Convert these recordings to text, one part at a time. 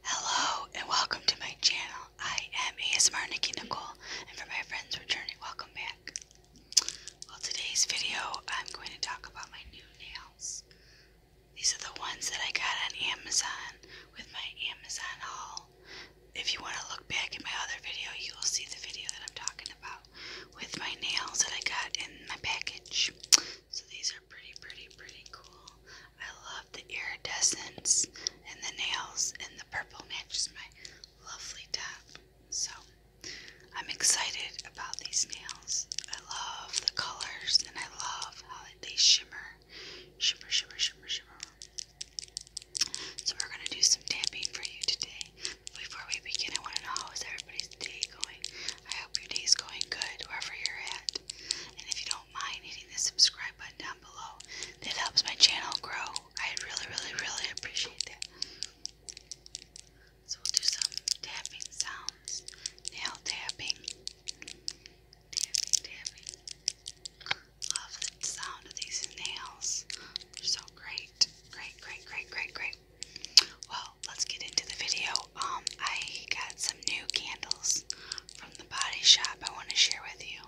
Hello and welcome to my channel. I am ASMR Nikki Nicole and for my friends returning, welcome back. Well, today's video I'm going to talk about my new nails. These are the ones that I got on Amazon with my Amazon haul. If you want to look back at my other video, you will see the video that I'm talking about with my nails that I got in my package. So these are pretty, pretty, pretty cool. I love the iridescence and the nails, and the purple match is my lovely top. So I'm excited about these nails. I love the colors, and I love how they shimmer, shimmer, shimmer, shimmer, shimmer. So we're gonna do some tapping for you today. Before we begin, I want to know how is everybody's day going? I hope your day is going good, wherever you're at. And if you don't mind hitting the subscribe button down below, that helps my channel grow. I really, really, really appreciate that. So we'll do some tapping sounds. Nail tapping. Tapping, tapping. Love the sound of these nails. so great. Great, great, great, great, great. Well, let's get into the video um, I got some new candles from the body shop I want to share with you.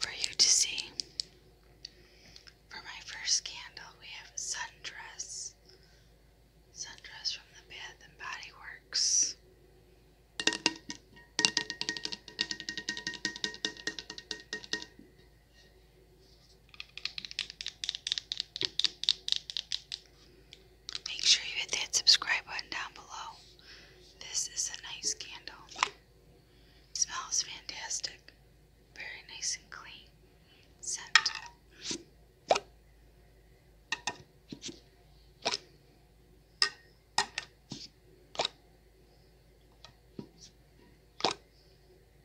For you to see. For my first candle, we have Sundress. Sundress from the Bath and Body Works. Make sure you hit that subscribe button down below. This is a nice candle. smells fantastic. Very nice and clean. Scent.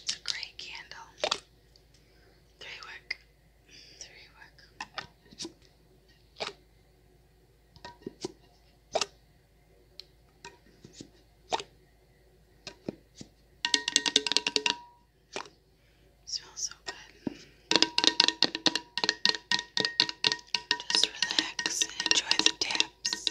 It's a great candle. They work Smells so good. Just relax and enjoy the taps.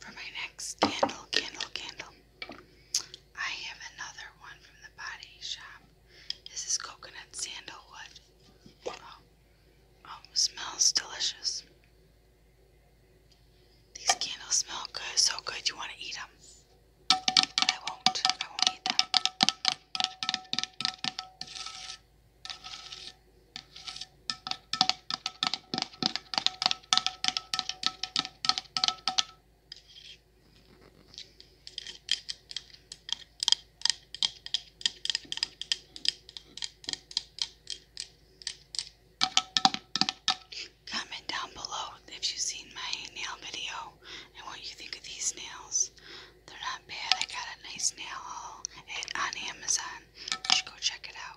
For my next candle, candle, candle, I have another one from the body shop. This is coconut sandalwood. Oh, oh smells delicious. These candles smell good, so good you want to eat them. I won't. I won't eat them. Comment down below if you've seen my nail video and what you think of these nails. They're not bad. I got a nice nail haul on Amazon. You should go check it out.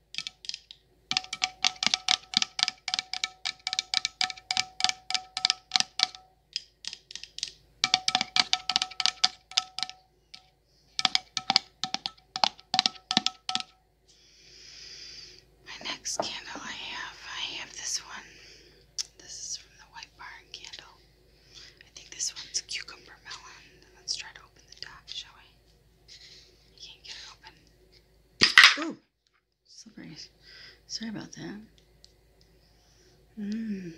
My next candle I have, I have this one. This is from the White Barn candle. I think this one's cucumber melon. Let's try to open the top, shall we? I can't get it open. Ooh, slippery. Sorry about that. Mm.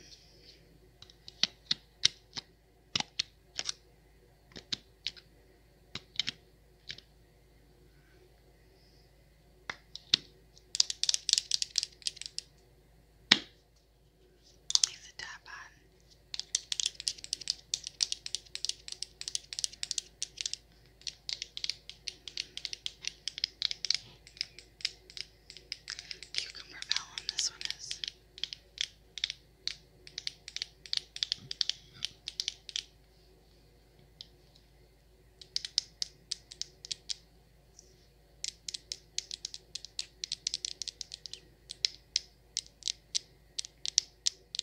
Leave the tap on. Cucumber melon, this one is.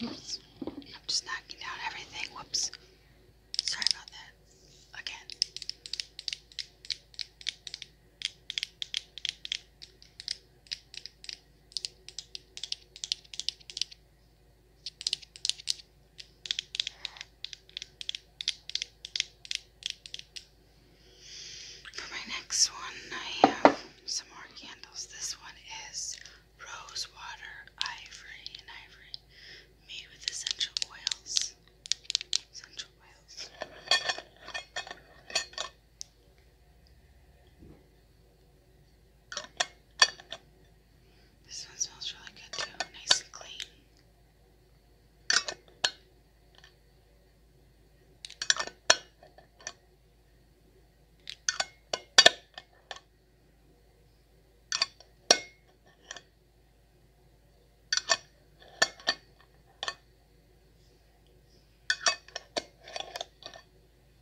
Oops. Just knocking down everything. Whoops. Sorry about that. Again. For my next one, I have some more candles. This one is rose water, ivory, and ivory made with essential oils. Essential oils. This one smells really good too, nice and clean.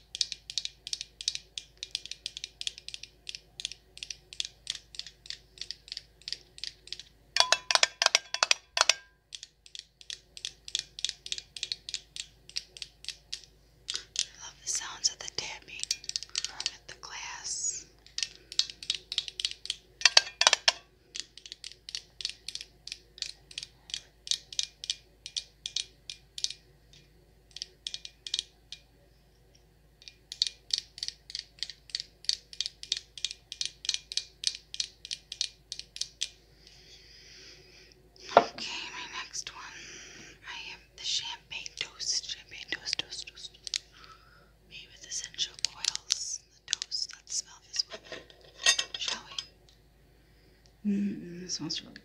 I love the sounds of the tapping from the glass. Okay, my next one. I am the champagne toast. Champagne toast, toast, toast. Made with essential oils. The toast. Let's smell this one. Shall we? Mm, this smells really good.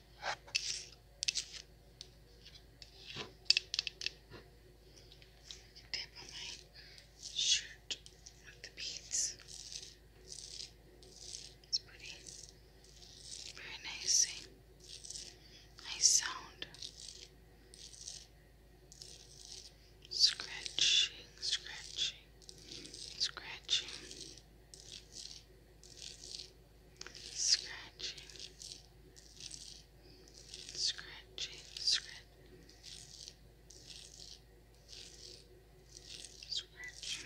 Tap on my shirt with the beads. It's pretty. Very nice. Nice sound. Scratching, scratching, scratching scratching, scratching, scratch, scratch. Scratch,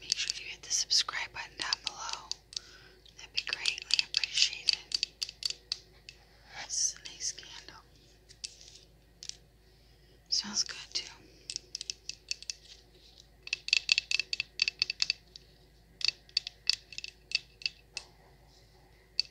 Make sure you hit the subscribe button down below. That'd be greatly appreciated. This is a nice candle. Sounds good too. The tappings,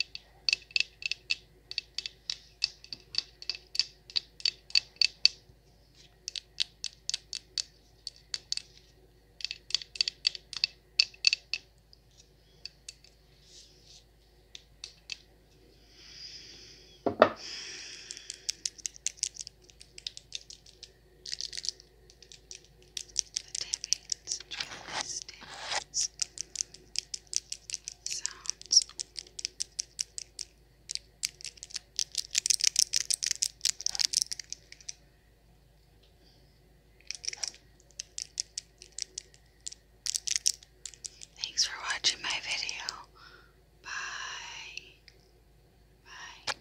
the tappings, Thanks for watching my video. Bye. Bye.